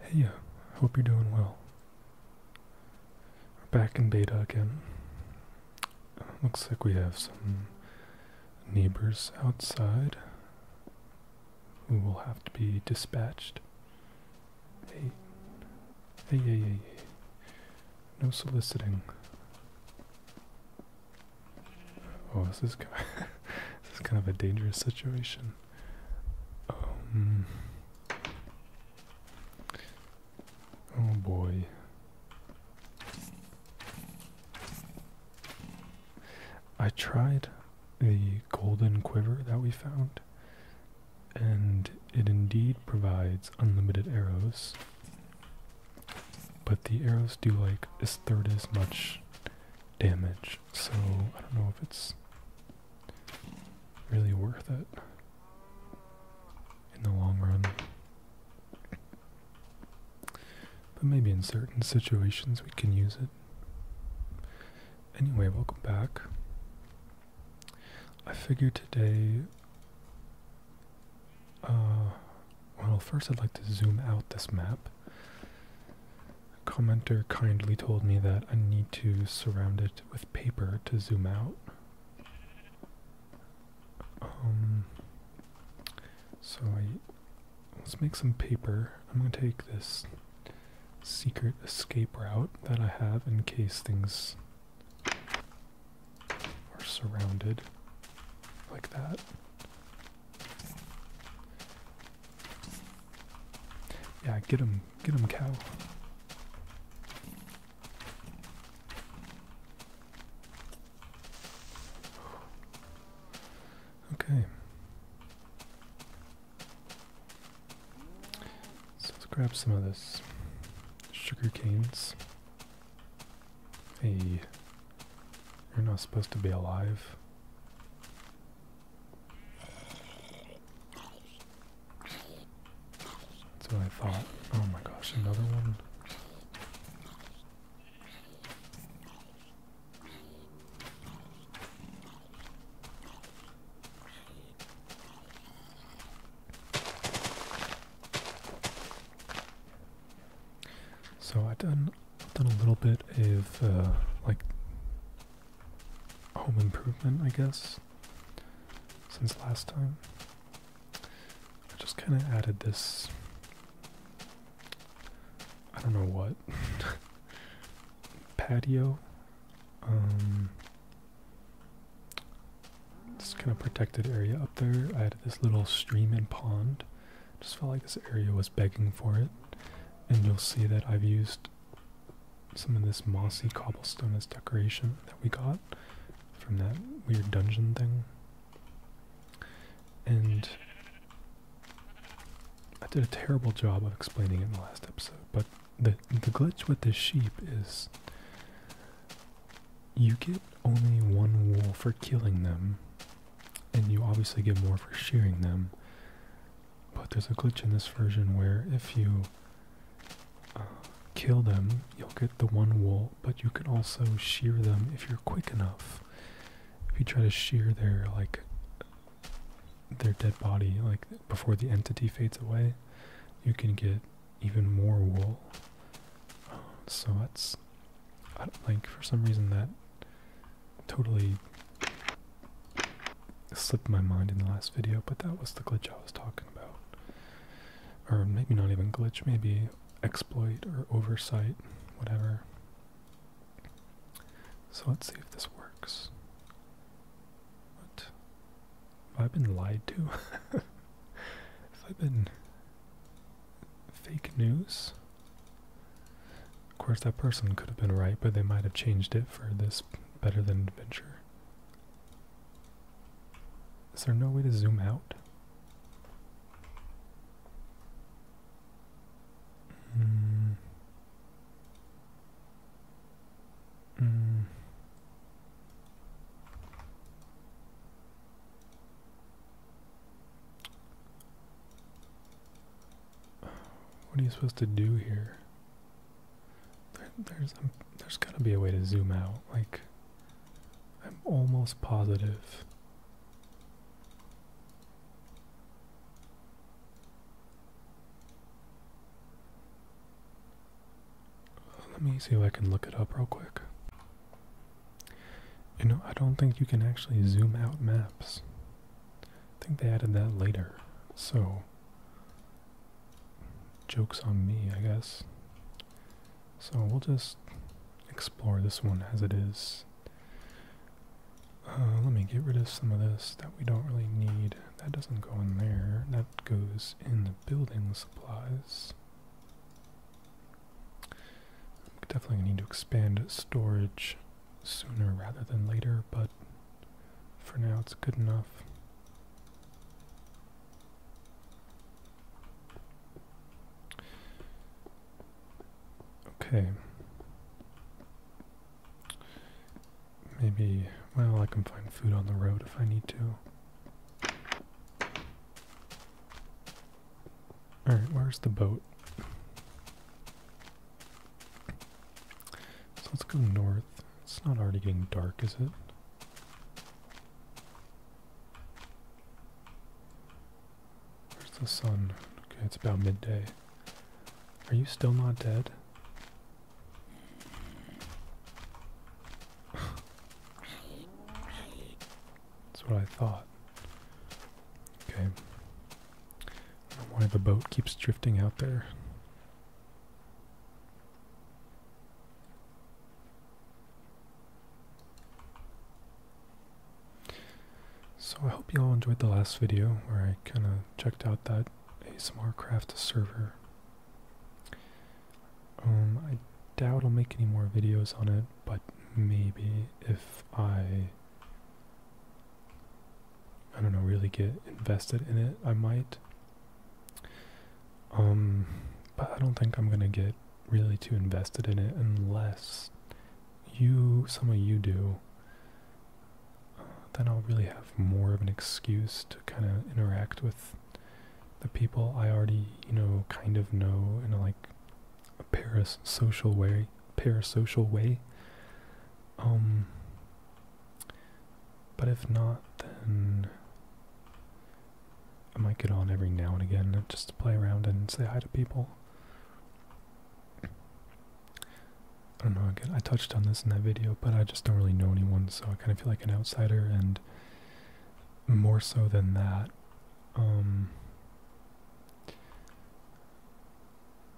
Hey, uh, hope you're doing well. We're back in beta again. looks like we have some neighbors outside who will have to be dispatched. Hey, hey, hey, hey, hey. No soliciting. Oh, this is kind of a dangerous situation. Um, oh boy. I tried the golden quiver that we found, and it indeed provides unlimited arrows, but the arrows do like a third as much damage so I don't know if it's really worth it in the long run. But maybe in certain situations we can use it. Anyway, welcome back. I figure today, uh, well, first I'd like to zoom out this map a commenter kindly told me that I need to surround it with paper to zoom out. Um, so I, let's make some paper. I'm going to take this secret escape route that I have in case things are surrounded like that. Yeah, get him, get him, cow. Okay. So let's grab some of this sugar canes. Hey, you're not supposed to be alive. So I thought, oh my gosh, another one? So I've done done a little bit of uh, like home improvement, I guess, since last time. I just kind of added this. I don't know what patio. Um, this kind of protected area up there. I added this little stream and pond. Just felt like this area was begging for it. And you'll see that I've used some of this mossy cobblestone as decoration that we got from that weird dungeon thing. And I did a terrible job of explaining it in the last episode, but the the glitch with this sheep is you get only one wool for killing them and you obviously get more for shearing them. But there's a glitch in this version where if you uh, kill them, you'll get the one wool, but you can also shear them if you're quick enough. If you try to shear their like their dead body, like before the entity fades away, you can get even more wool. Um, so that's I don't, like for some reason that totally slipped my mind in the last video, but that was the glitch I was talking about. Or maybe not even glitch, maybe exploit or oversight, whatever. So let's see if this works. What? Have I been lied to? Have I been fake news? Of course, that person could have been right, but they might have changed it for this better than adventure. Is there no way to zoom out? Mm. Mm. What are you supposed to do here? There, there's um, there's got to be a way to zoom out. Like I'm almost positive. Let me see if I can look it up real quick. You know, I don't think you can actually zoom out maps. I think they added that later, so joke's on me, I guess. So we'll just explore this one as it is. Uh, let me get rid of some of this that we don't really need. That doesn't go in there. That goes in the building supplies. definitely need to expand storage sooner rather than later, but for now it's good enough. Okay. Maybe, well, I can find food on the road if I need to. Alright, where's the boat? So let's go north. It's not already getting dark, is it? Where's the sun? Okay, it's about midday. Are you still not dead? That's what I thought. Okay why the boat keeps drifting out there. So I hope you all enjoyed the last video where I kind of checked out that ASMR Craft server. Um, I doubt I'll make any more videos on it, but maybe if I I don't know, really get invested in it. I might. Um, but I don't think I'm gonna get really too invested in it unless you, some of you do. then I'll really have more of an excuse to kind of interact with the people I already, you know, kind of know in a, like a social way parasocial way. Um, but if not, then I might get on every now and again just to play around and say hi to people. I don't know, I touched on this in that video, but I just don't really know anyone, so I kind of feel like an outsider, and more so than that, um,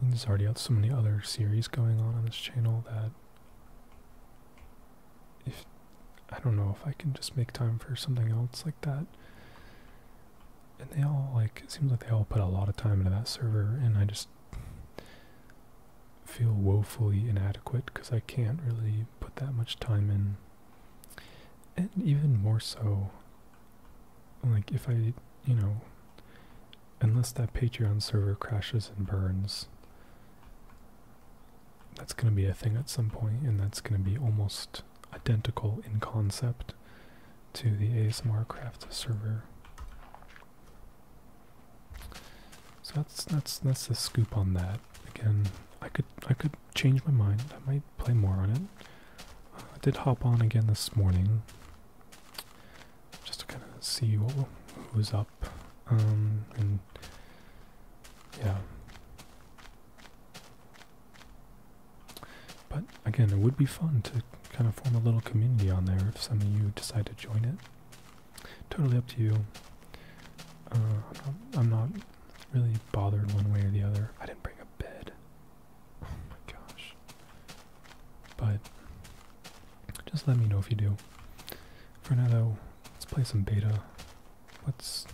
there's already so many other series going on on this channel that if I don't know if I can just make time for something else like that. And they all like it seems like they all put a lot of time into that server, and I just feel woefully inadequate because I can't really put that much time in. And even more so, like if I, you know, unless that Patreon server crashes and burns, that's going to be a thing at some point, and that's going to be almost identical in concept to the ASMR Craft server. So that's that's that's the scoop on that. Again, I could I could change my mind. I might play more on it. I did hop on again this morning just to kind of see what, was up. Um, and yeah. But again, it would be fun to kind of form a little community on there if some of you decide to join it. Totally up to you. Uh, I'm not really bothered one way or the other. I didn't bring a bed. Oh my gosh. But just let me know if you do. For now though, let's play some beta. Let's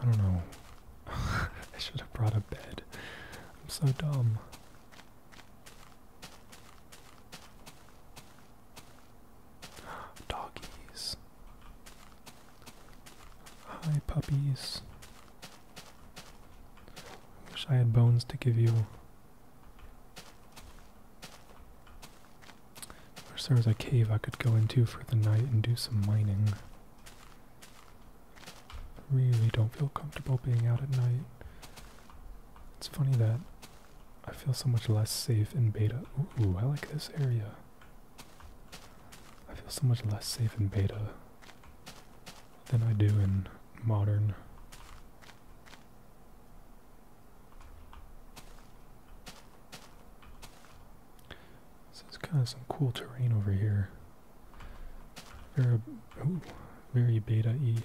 I don't know. I should have brought a bed. I'm so dumb. Doggies. Hi, puppies. I wish I had bones to give you. I wish a cave I could go into for the night and do some mining. really don't feel comfortable being out at night. It's funny that I feel so much less safe in beta. Ooh, I like this area. I feel so much less safe in beta than I do in modern. So it's kind of some cool terrain over here. Very, beta E.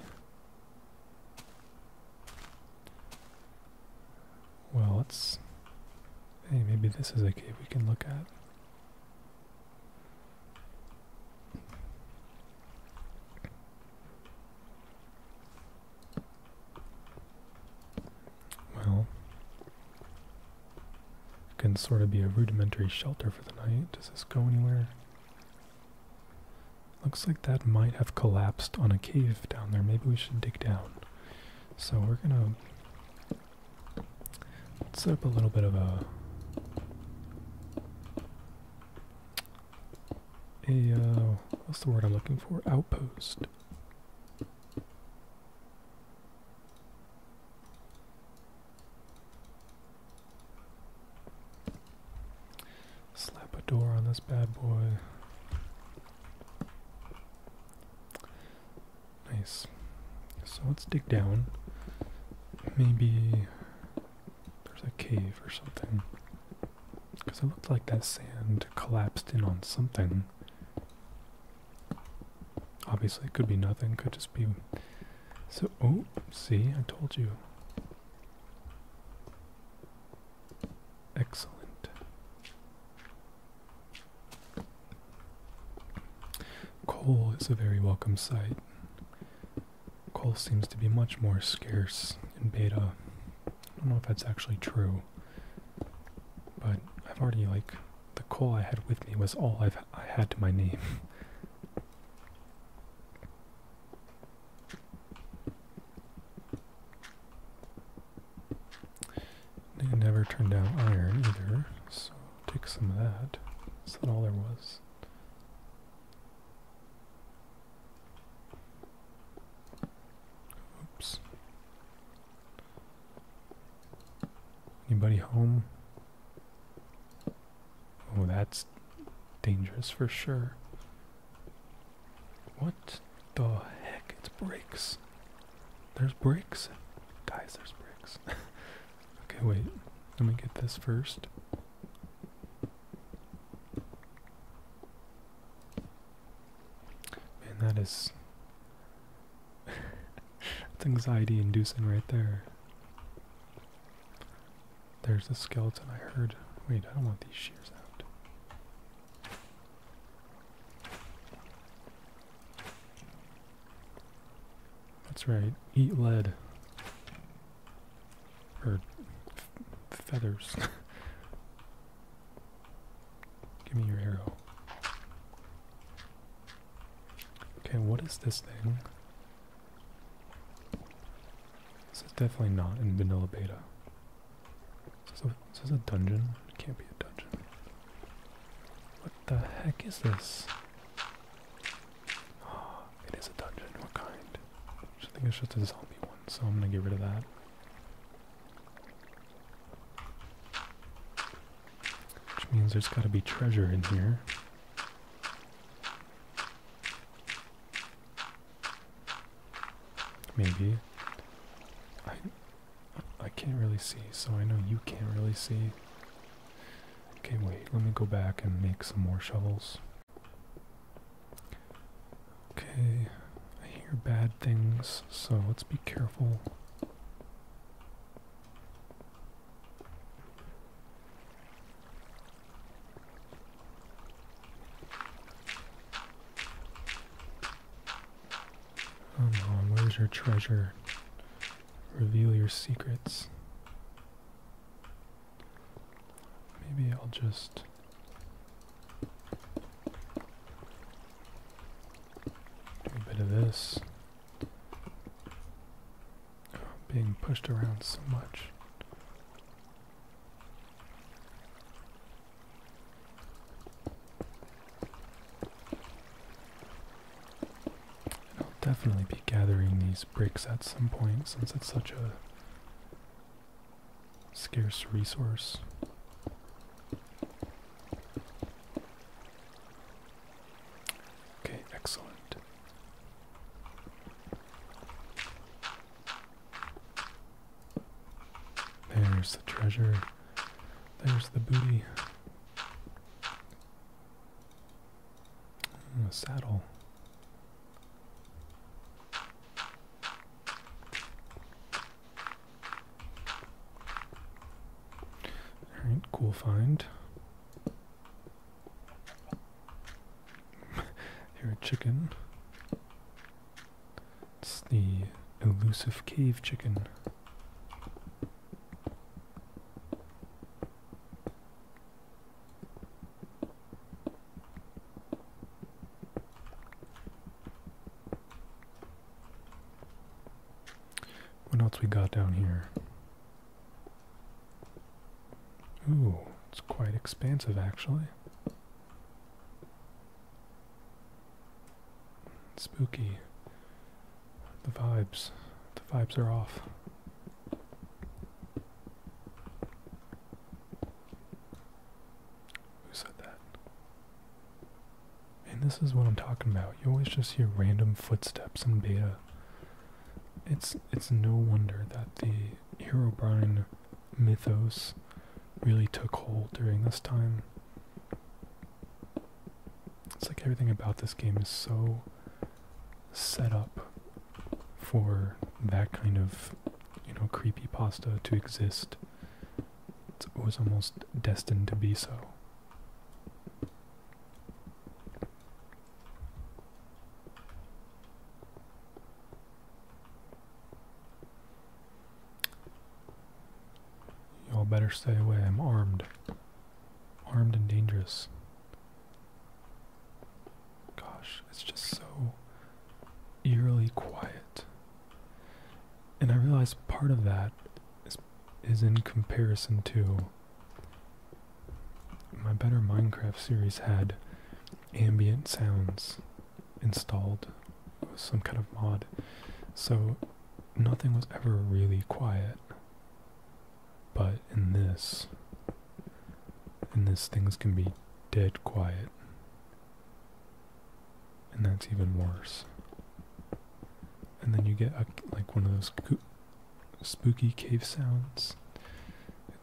Well, let's. Hey, maybe this is a cave we can look at. Well, it can sort of be a rudimentary shelter for the night. Does this go anywhere? Looks like that might have collapsed on a cave down there. Maybe we should dig down. So we're gonna Let's set up a little bit of a a uh, what's the word I'm looking for? Outpost. Slap a door on this bad boy. Nice. So let's dig down. Maybe there's a cave or something. Because it looked like that sand collapsed in on something. Obviously, it could be nothing, could just be. So, oh, see, I told you. Excellent. Coal is a very welcome sight. Coal seems to be much more scarce in beta. I don't know if that's actually true, but I've already, like, the coal I had with me was all i had to my name. They never turn down iron either, so take some of that. That's not all there was. Oops. Anybody home? Oh, that's dangerous for sure. What the heck? It breaks. There's bricks. Guys, there's bricks. okay, wait. Let me get this first. Man, that is. anxiety inducing right there. There's the skeleton I heard. Wait, I don't want these shears out. That's right, eat lead. Or feathers. Give me your arrow. Okay, what is this thing? This is definitely not in vanilla beta. this is a dungeon? It can't be a dungeon the heck is this? Oh, it is a dungeon. What kind? I think it's just a zombie one, so I'm gonna get rid of that. Which means there's gotta be treasure in here. Maybe. I can't really see, so I know you can't really see. Okay, wait, let me go back and make some more shovels. Okay, I hear bad things, so let's be careful. Um, oh no, where's your treasure? Reveal your secrets. Maybe I'll just... Do a bit of this. being pushed around so much. I'll definitely be gathering these bricks at some point since it's such a scarce resource. Okay, excellent. There's the treasure. There's the booty. Oh, a saddle. Alright, cool find. Here a chicken. It's the elusive cave chicken. What else we got down here? Ooh, it's quite expansive actually. Spooky. The vibes. The vibes are off. Who said that? And this is what I'm talking about. You always just hear random footsteps in beta. It's it's no wonder that the Herobrine mythos really took hold during this time. It's like everything about this game is so set up for that kind of, you know, creepy pasta to exist. It's, it was almost destined to be so. Y'all better stay away. I'm armed. Armed and dangerous. Gosh, it's just so eerily quiet. And I realize part of that is, in comparison to my better Minecraft series had ambient sounds installed some kind of mod. So nothing was ever really quiet. But in this, in this, things can be dead quiet. And that's even worse. And then you get like one of those spooky cave sounds,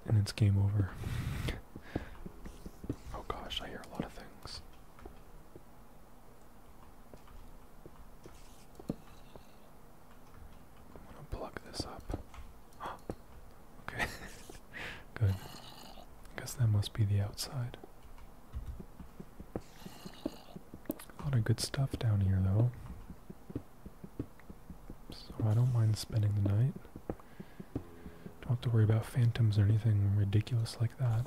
and it's game over. oh gosh, I hear a lot of things. I'm gonna plug this up. Okay. Good. I guess that must be the outside. A lot of good stuff down here though. So I don't mind spending the night. Don't have to worry about phantoms or anything ridiculous like that.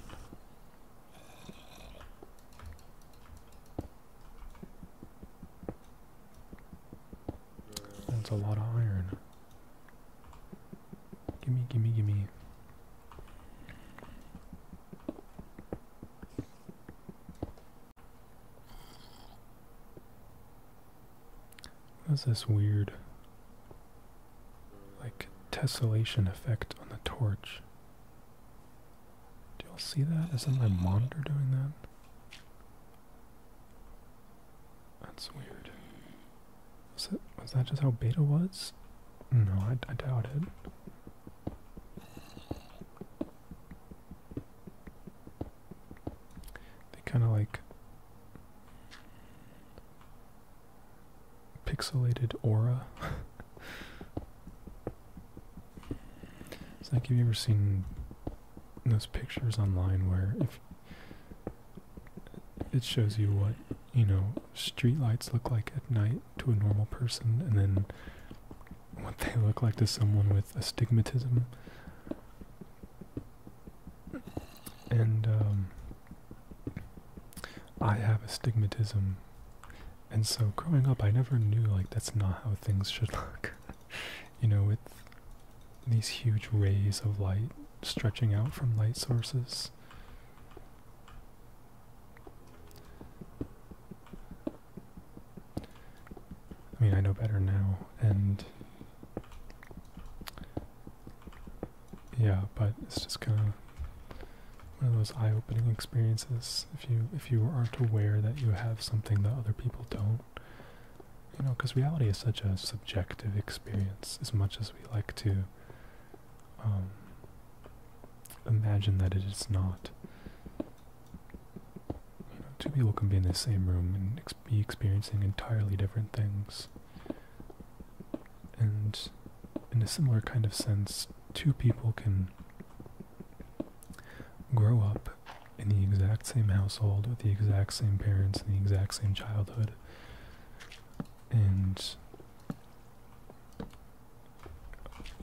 That's a lot of iron. Gimme, gimme, gimme. What's this weird like tessellation effect on the torch. Do y'all see that? Isn't my monitor doing that? That's weird. Was that, was that just how beta was? No, I, I doubt it. They kind of like pixelated aura. it's like have you ever seen those pictures online where if it shows you what you know streetlights look like at night to a normal person, and then what they look like to someone with astigmatism. And um, I have astigmatism. And so growing up, I never knew like that's not how things should look. you know, with these huge rays of light stretching out from light sources. I mean, I know better now, and yeah, but it's just kind of one of those eye-opening experiences if you if you aren't aware that you have something that other people don't. You know, because reality is such a subjective experience. As much as we like to um, imagine that it is not. two people can be in the same room and be experiencing entirely different things. And in a similar kind of sense, two people can grow up in the exact same household with the exact same parents and the exact same childhood. And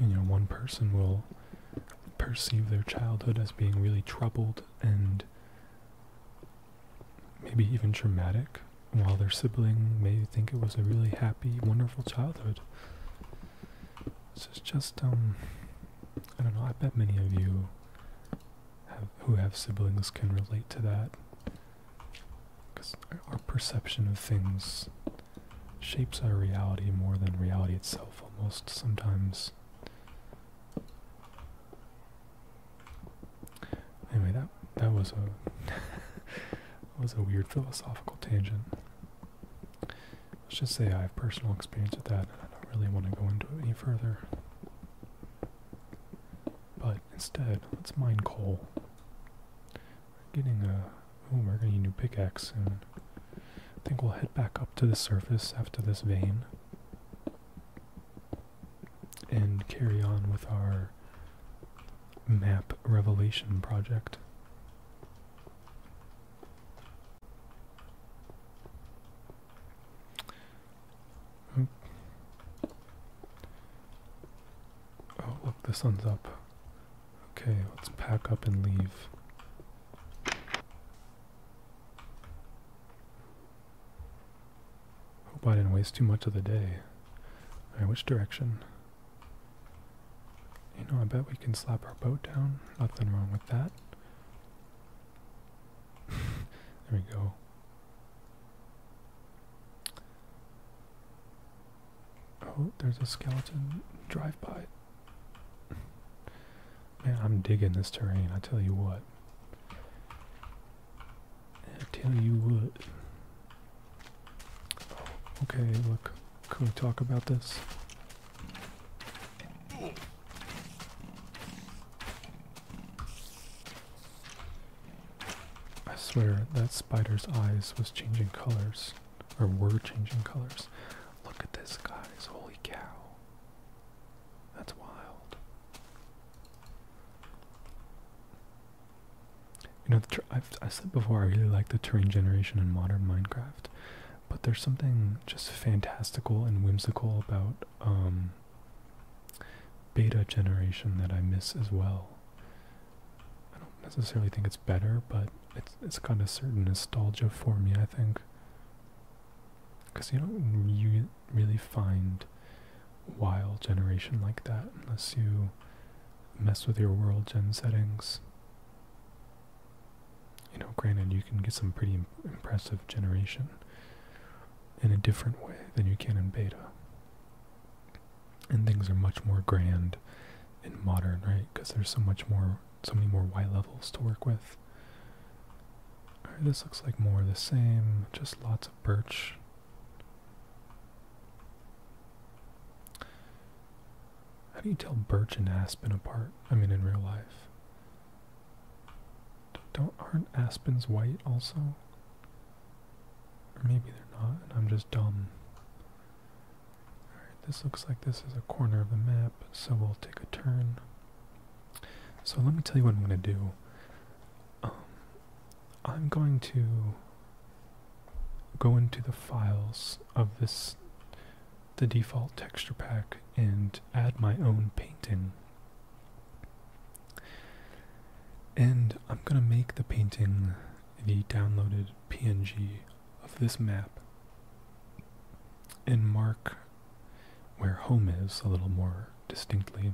you know, one person will perceive their childhood as being really troubled and maybe even traumatic while their sibling may think it was a really happy, wonderful childhood. This is just, um, I don't know, I bet many of you who have siblings can relate to that. Because our perception of things shapes our reality more than reality itself, almost sometimes. Anyway, that that was a was a weird philosophical tangent. Let's just say I have personal experience with that, and I don't really want to go into it any further. But instead, let's mine coal. We're getting a oh, we're gonna need a new pickaxe and I think we'll head back up to the surface after this vein and carry on with our map revelation project. Oh, oh look, the sun's up. Okay, let's pack up and leave. Hope I didn't waste too much of the day. Alright, which direction? You know, I bet we can slap our boat down. Nothing wrong with that. there we go. Oh, there's a skeleton drive-by. Man, I'm digging this terrain, I tell you what. I tell you what. Okay, look. Can we talk about this? I swear that spider's eyes was changing colors, or were changing colors. Look at this, guys. Holy cow. That's wild. You know, i said before I really like the terrain generation in modern Minecraft, but there's something just fantastical and whimsical about um, beta generation that I miss as well. I don't necessarily think it's better, but it's got a certain nostalgia for me. I think because you don't re really find wild, generation like that unless you mess with your world gen settings. You know, granted, you can get some pretty impressive generation in a different way than you can in beta. And things are much more grand and modern, right? Because there's so much more, so many more Y levels to work with. Alright, this looks like more the same, just lots of birch. How do you tell birch and aspen apart? I mean, in real life. Don't aren't aspens white also? Or maybe they're not, and I'm just dumb. Alright, this looks like this is a corner of the map, so we'll take a turn. So let me tell you what I'm gonna do. Um, I'm going to go into the files of this the default texture pack and add my own painting. And I'm going to make the painting the downloaded PNG of this map and mark where home is a little more distinctly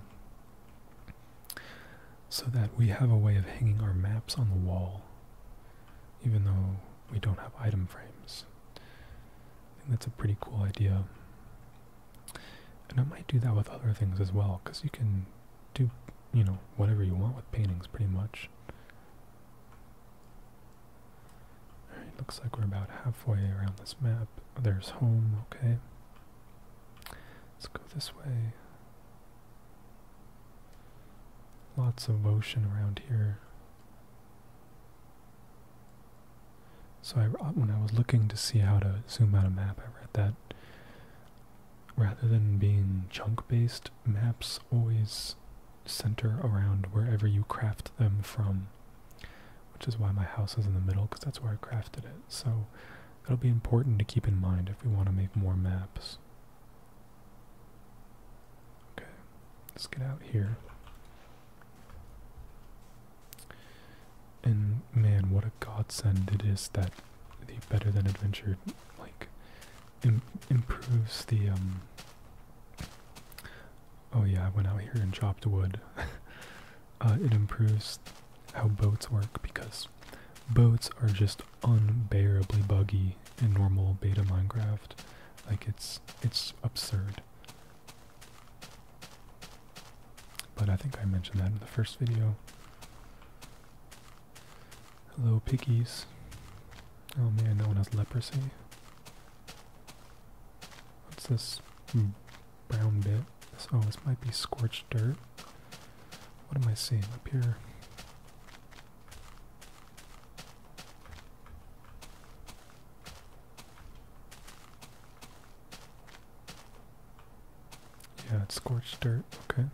so that we have a way of hanging our maps on the wall, even though we don't have item frames. I think that's a pretty cool idea. And I might do that with other things as well, because you can do, you know, whatever you want with paintings pretty much. looks like we're about halfway around this map. There's home, okay. Let's go this way. Lots of ocean around here. So I, uh, when I was looking to see how to zoom out a map, I read that rather than being chunk-based, maps always center around wherever you craft them from, which is why my house is in the middle, because that's where I crafted it. So That'll be important to keep in mind if we want to make more maps. Okay, let's get out here. And man, what a godsend it is that the Better Than Adventure like improves the um. Oh yeah, I went out here and chopped wood. Uh, it improves how boats work because Boats are just unbearably buggy in normal beta Minecraft. Like it's it's absurd. But I think I mentioned that in the first video. Hello pickies. Oh man, that one has leprosy. What's this hmm brown bit. So this might be scorched dirt. What am I seeing up here? Yeah, it's scorched dirt. Okay.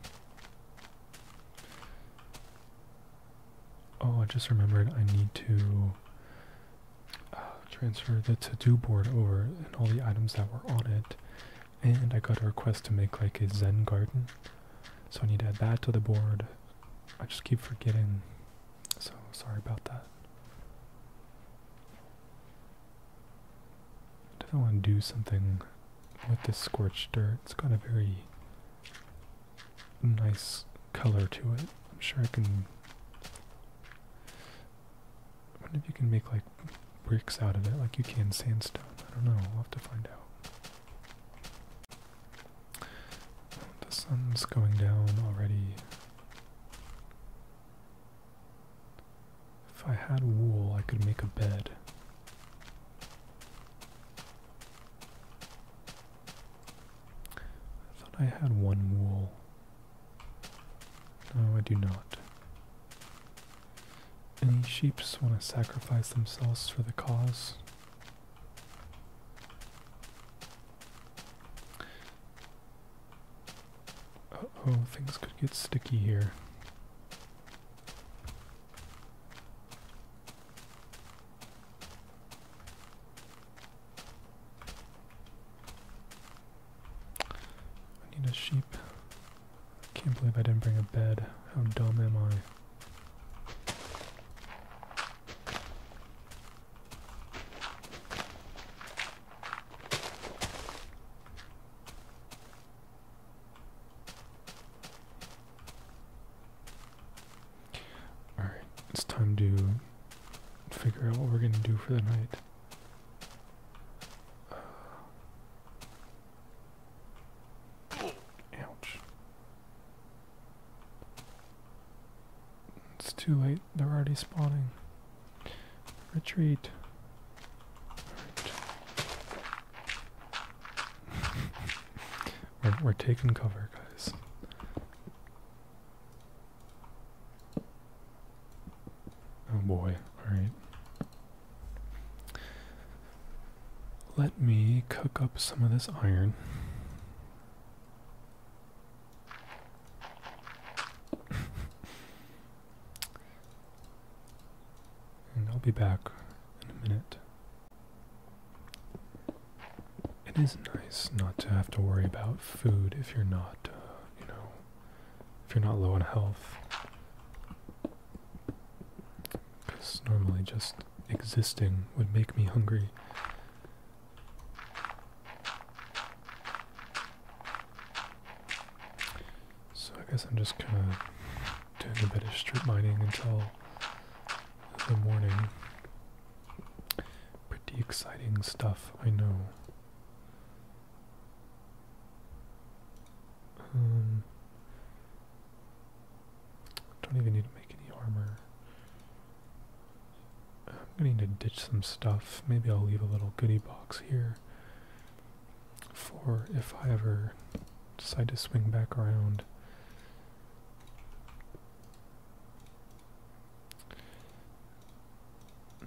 Oh, I just remembered I need to uh, transfer the to-do board over and all the items that were on it and I got a request to make like a zen garden. So I need to add that to the board. I just keep forgetting. So sorry about that. I want to do something with this scorched dirt. It's got a very nice color to it. I'm sure I can I wonder if you can make like bricks out of it, like you can sandstone. I don't know. We'll have to find out. The sun's going down already. If I had wool, I could make a bed. I thought I had one wool. No, I do not. Any sheeps want to sacrifice themselves for the cause? oh, things could get sticky here. I need a sheep. I can't believe I didn't bring a bed. How dumb am I? Alright, it's time to figure out what we're gonna do for the night ouch. It's too late. They're already spawning. Retreat. we're taking cover, guys. Oh boy, alright. Let me cook up some of this iron. and I'll be back in a minute. It is nice not to have to worry about food if you're not, uh, you know, if you're not low on health. Because normally just existing would make me hungry. So I guess I'm just kind of doing a bit of street mining until the morning. Pretty exciting stuff, I know. Um, don't even need to make any armor. I'm going to need to ditch some stuff. Maybe I'll leave a little goodie box here for if I ever decide to swing back around.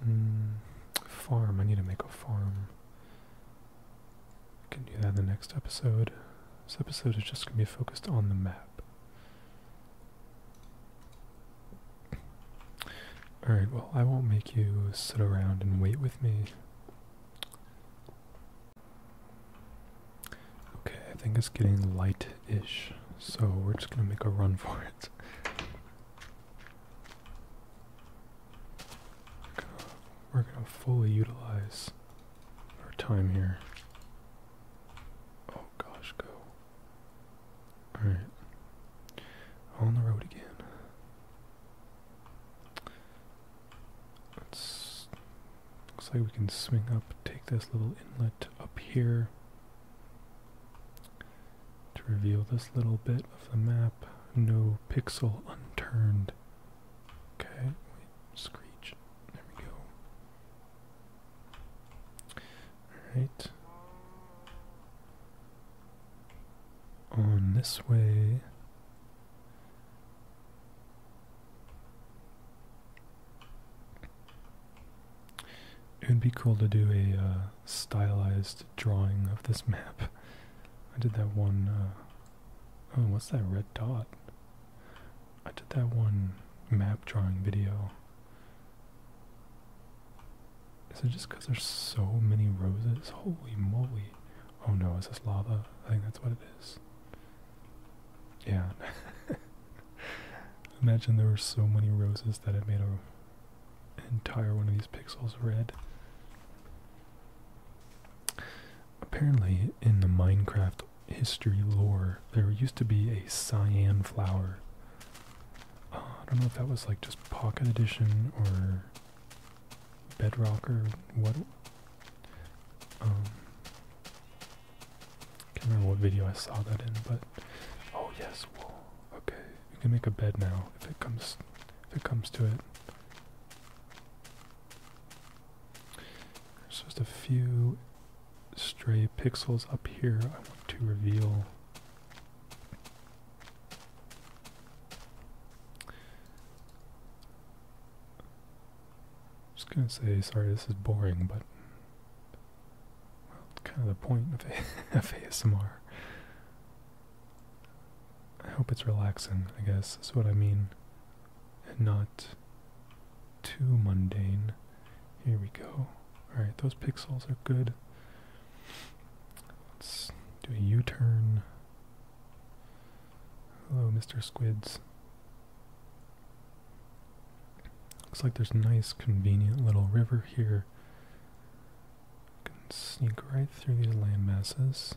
Mm, farm. I need to make a farm. I can do that in the next episode. This episode is just going to be focused on the map. Alright, well, I won't make you sit around and wait with me. Okay, I think it's getting light-ish, so we're just going to make a run for it. We're gonna fully utilize our time here. Oh gosh, go. Alright. On the road again. Looks like we can swing up, take this little inlet up here to reveal this little bit of the map. No pixel unturned. Okay, wait, screech. There we go. Alright. On this way. It would be cool to do a uh, stylized drawing of this map. I did that one. Uh, oh, what's that red dot? I did that one map drawing video. Is it just because there's so many roses? Holy moly. Oh no, is this lava? I think that's what it is. Yeah. Imagine there were so many roses that it made a entire one of these pixels red. Apparently, in the Minecraft history lore, there used to be a cyan flower. Uh, I don't know if that was like just Pocket Edition or Bedrock or what. Um, can't remember what video I saw that in, but oh yes, Okay, we can make a bed now if it comes if it comes to it. There's just a few stray pixels up here I want to reveal. just gonna say, sorry, this is boring, but well, kind of the point of ASMR. I hope it's relaxing, I guess, that's what I mean. And not too mundane. Here we go. Alright, those pixels are good. Let's do a U-turn. Hello, Mr. Squids. Looks like there's a nice, convenient little river here. Can sneak right through these land masses.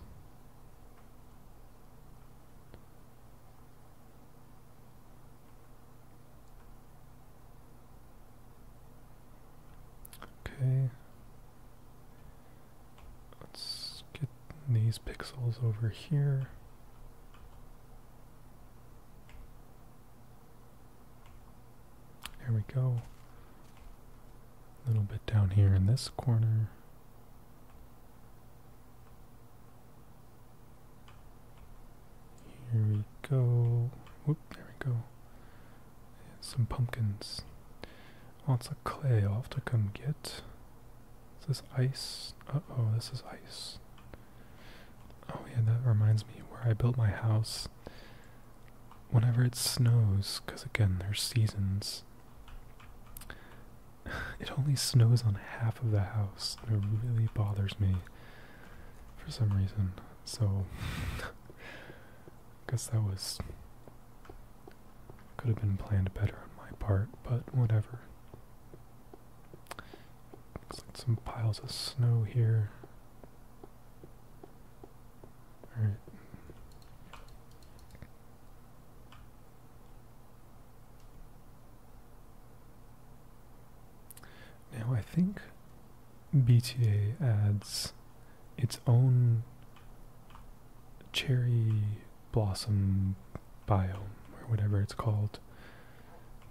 Okay. Let's get these pixels over here. There we go. A little bit down here in this corner. Here we go. Whoop, there we go. some pumpkins. Lots of clay I'll have to come get. Is this ice? Uh-oh, this is ice. Oh yeah, that reminds me where I built my house whenever it snows, because again, there's seasons, it only snows on half of the house. And it really bothers me for some reason. So, I guess that was. Could have been planned better on my part, but whatever. Looks like some piles of snow here. Now I think BTA adds its own cherry blossom biome or whatever it's called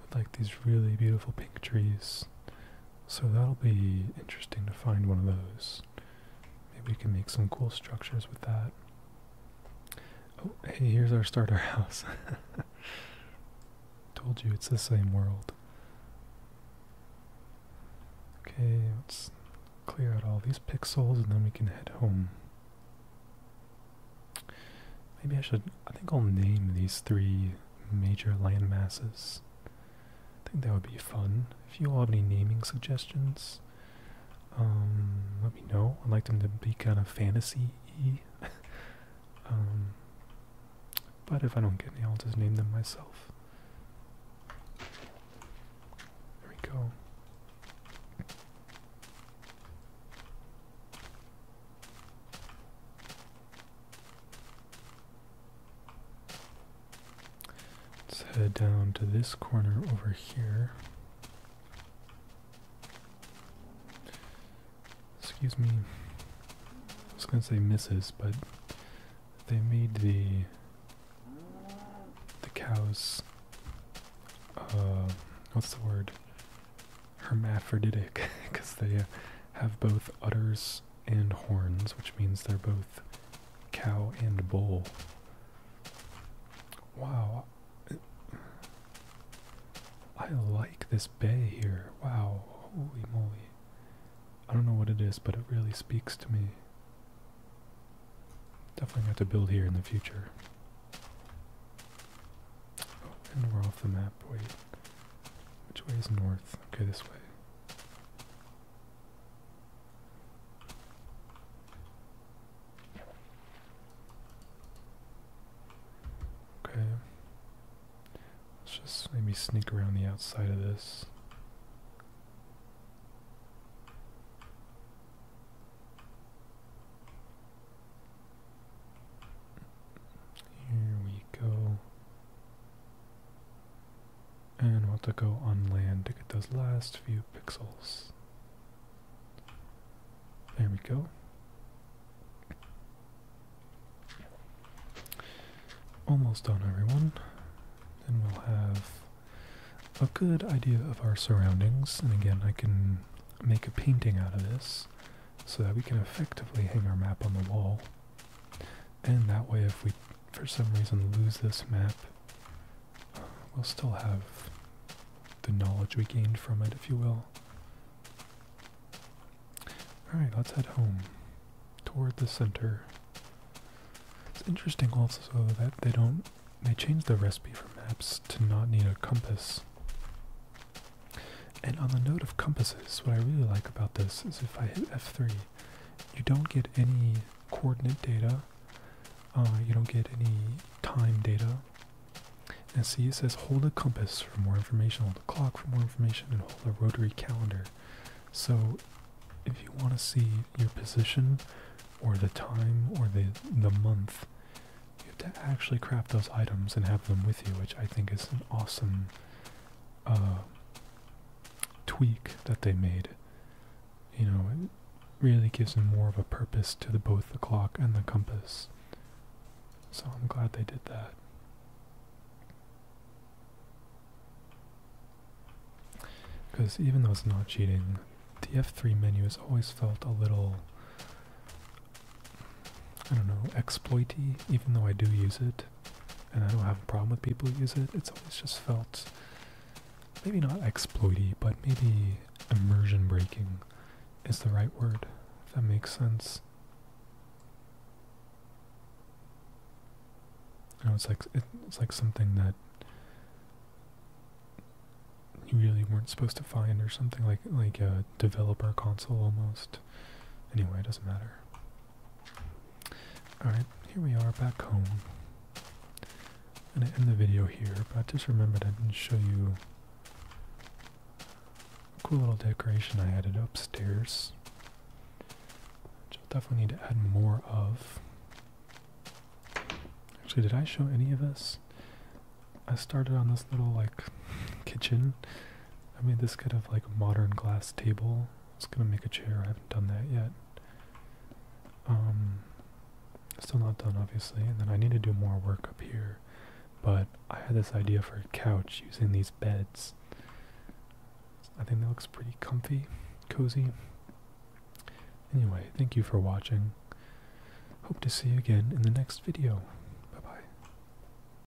with like these really beautiful pink trees so that'll be interesting to find one of those. Maybe we can make some cool structures with that. Oh, hey, here's our starter house. Told you it's the same world. Okay, let's clear out all these pixels and then we can head home. Maybe I should, I think I'll name these three major land masses. I think that would be fun. If you all have any naming suggestions, um, let me know. I'd like them to be kind of fantasy um, but if I don't get any, I'll just name them myself. There we go. Let's head down to this corner over here. Excuse me. I was gonna say misses, but they made the the cows uh, what's the word hermaphroditic because they uh, have both utters and horns, which means they're both cow and bull. Wow. I like this bay here. Wow. Holy moly. I don't know what it is, but it really speaks to me. Definitely got to build here in the future. Oh, and we're off the map. Wait. Which way is north? Okay, this way. Okay. Let's just maybe sneak around the outside of this. Here we go. And we'll have to go on land to get those last few pixels. There we go. Almost done, everyone. And we'll have a good idea of our surroundings. And again, I can make a painting out of this so that we can effectively hang our map on the wall. And that way if we for some reason lose this map, we'll still have the knowledge we gained from it, if you will. Alright, let's head home. Toward the center. It's interesting also that they don't they changed the recipe for maps to not need a compass. And on the note of compasses, what I really like about this is if I hit F3, you don't get any coordinate data, uh, you don't get any time data. And see, it says hold a compass for more information, hold a clock for more information, and hold a rotary calendar. So if you want to see your position, or the time, or the, the month, you have to actually craft those items and have them with you, which I think is an awesome uh, tweak that they made, you know, it really gives them more of a purpose to both the clock and the compass. So I'm glad they did that. Because even though it's not cheating, the F3 menu has always felt a little, I don't know, exploity, even though I do use it and I don't have a problem with people use it. It's always just felt maybe not exploity, but maybe immersion breaking is the right word, if that makes sense. You it's like it's like something that you really weren't supposed to find, or something like like a developer console almost. Anyway, it doesn't matter. Alright, here we are back home. I'm going to end the video here, but I just remembered I didn't show you a cool little decoration I added upstairs. Which I'll definitely need to add more of. Actually, did I show any of this? I started on this little, like, kitchen I made this kind of like modern glass table. I was gonna make a chair. I haven't done that yet. Um, still not done, obviously. And then I need to do more work up here. But I had this idea for a couch using these beds. I think that looks pretty comfy, cozy. Anyway, thank you for watching. Hope to see you again in the next video. Bye-bye.